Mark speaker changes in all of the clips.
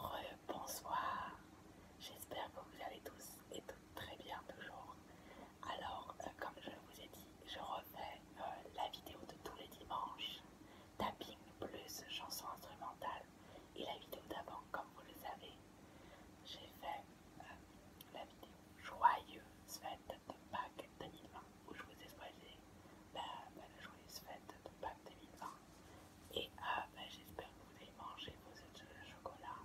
Speaker 1: Re-bonsoir, j'espère que vous allez tous et toutes très bien toujours. Alors, euh, comme je vous ai dit, je refais euh, la vidéo de tous les dimanches, tapping plus chanson instrumentale et la vidéo d'avant, comme vous le savez, j'ai fait euh, la vidéo joyeuse fête de Pâques 2020 où je vous ai la, bah, la joyeuse fête de Pâques 2020. Et euh, bah, j'espère que vous avez mangé vos œufs de chocolat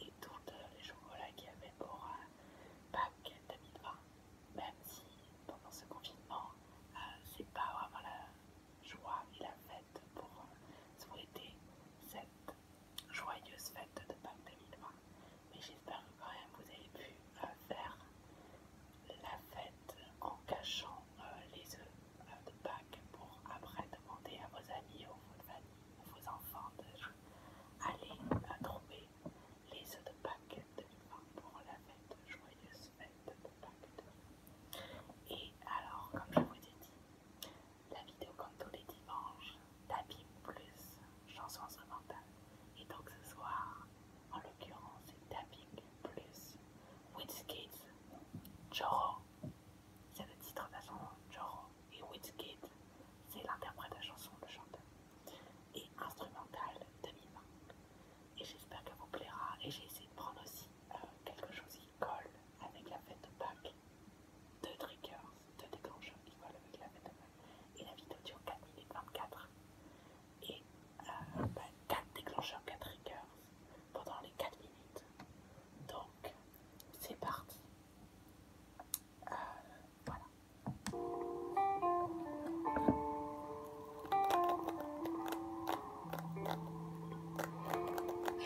Speaker 1: et tous les chocolats qu'il y avait pour Paquet euh, Pâques 2020. Même si pendant ce confinement, euh, c'est pas vraiment la joie et la fête pour souhaiter cette joyeuse fête de Pâques 2020. Mais j'espère que quand même vous avez pu faire la fête en cachant les œufs euh, de Pâques pour après demander à vos amis ou vos familles ou vos enfants d'aller euh, trouver les œufs de Pâques 2020 pour la fête, joyeuse fête de Pâques Et alors, comme je vous ai dit, la vidéo comme tous les dimanches, plus, chansons mental Et donc ce soir, en l'occurrence c'est Tapping plus Witchgate Joro. C'est le titre de la chanson Joro. Et Witchgate, c'est l'interprète de la chanson, le chanteur. Et instrumental 2020. Et j'espère que vous plaira. Et j'ai essayé de prendre aussi euh, quelque chose qui colle avec la fête de Pâques. Deux triggers, deux déclencheurs qui collent avec la fête de Pâques. Et la vidéo dure 4 minutes 24 et 4 euh, bah, 4 triggers pendant les 4 minutes. Donc c'est parti. Euh, voilà.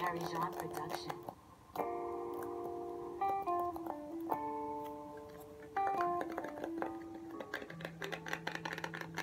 Speaker 1: Harry Jean Production.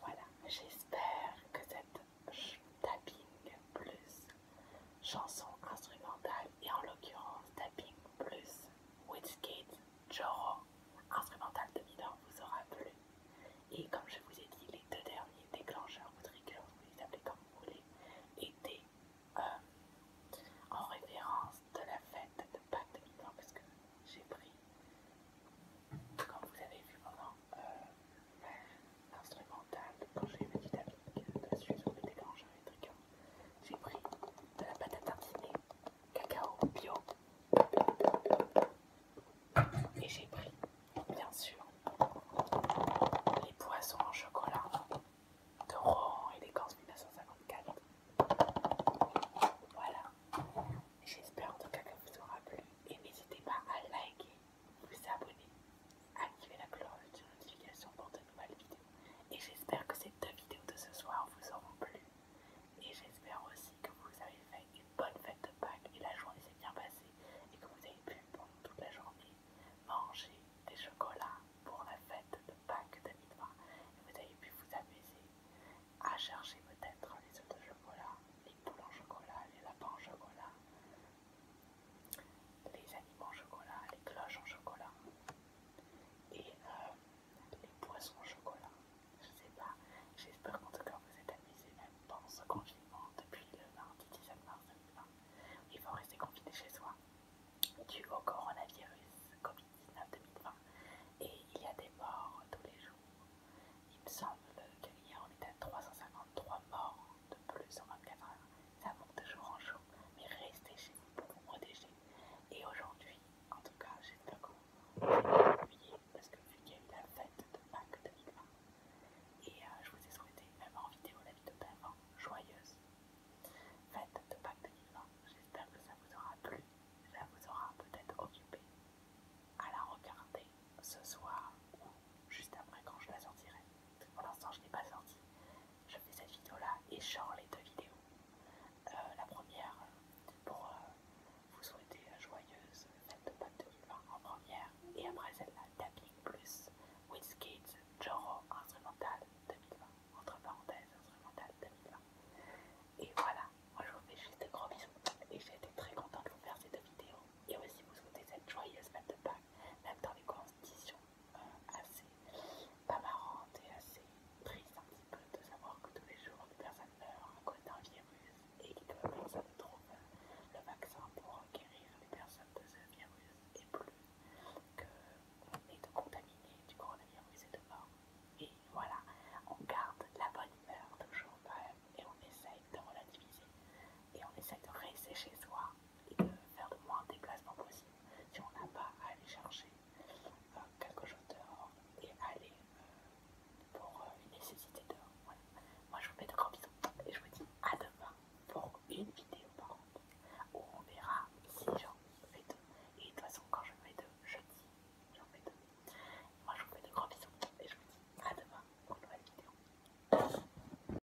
Speaker 1: Voilà, j'espère que cette tapping plus chanson instrumentale et en l'occurrence Tapping plus Whitskate, Joro, instrumental de Midor, vous aura plu. Et comme je vous ai dit, les deux derniers déclencheurs ou triggers, vous les appelez comme vous voulez, étaient euh, en référence de la fête de Pâques de Midor, parce que j'ai pris, comme vous avez vu pendant euh, l'instrumental, quand j'ai mis mes dynamiques dessus sur le déclencheur et trigger j'ai pris de la pâte à tartiner cacao bio et j'ai pris bien sûr les poissons en chocolat de Rohan et d'Écorce 1954. Voilà, j'espère en tout cas que vous aura plu et n'hésitez pas à liker, vous abonner activez la cloche de notification pour de nouvelles vidéos. Et j'espère que ces deux vidéos de ce soir vous auront plu. Et j'espère aussi que vous avez fait une bonne fête de Pâques et la journée s'est bien passée et que vous avez pu pendant toute la journée manger des chocolats pour la fête de Pâques 2020 et vous avez pu vous amuser à chercher peut-être les œufs de chocolat, les poules en chocolat, les lapins en chocolat, les animaux en chocolat, les cloches en chocolat et euh, les poissons au chocolat. Je sais pas, j'espère qu'en tout cas vous êtes amusés même pendant ce confinement depuis le mardi 17 mars 2020. Il faut rester confiné chez soi dû au coronavirus Covid-19 2020 et il y a des morts tous les jours. Il me semble qu'il a on était à 353 morts de plus en 24 h Ça monte de jour en jour, mais restez chez vous pour vous protéger. Et aujourd'hui, en tout cas, j'espère que vous avez parce que vu qu'il y a eu la fête de Pâques 2020, et euh, je vous ai souhaité, même en vidéo, la vidéo de joyeuse. Fête de Pâques 2020, j'espère que ça vous aura plu, ça vous aura peut-être occupé à la regarder ce soir ou juste après quand je la sortirai. Pour l'instant, je n'ai pas sorti, je fais cette vidéo là et genre les deux vidéos. Euh, la première pour euh, vous souhaiter joyeuse fête de Pâques 2020 en première et après celle-là Tapping Plus with Kids Joro Instrumental 2020 entre parenthèses Instrumental 2020 et voilà moi je vous fais juste de gros bisous et j'ai été très contente de vous faire ces deux vidéos et aussi vous souhaiter cette joyeuse fête de Pâques même dans les conditions assez pas marrante et assez triste un petit peu de savoir que tous les jours des personnes meurent en cause d'un virus et que personne ne trouve le vaccin pour guérir les personnes de ce virus et plus qu'on est contaminé du coronavirus et de mort. Et voilà, on garde la bonne humeur toujours quand même et on essaye de relativiser et on essaye de rester chez soi et de euh, faire le moins de déplacements possible si on n'a pas à aller chercher euh, quelque chose dehors et aller euh, pour une nécessité dehors. Moi je vous mets de grands bisous et je vous dis à demain pour une vidéo par contre où on verra si j'en fais deux. Et de toute façon quand je fais deux, je dis j'en fais deux. Moi je vous mets de grands bisous et je vous dis à demain pour une nouvelle vidéo.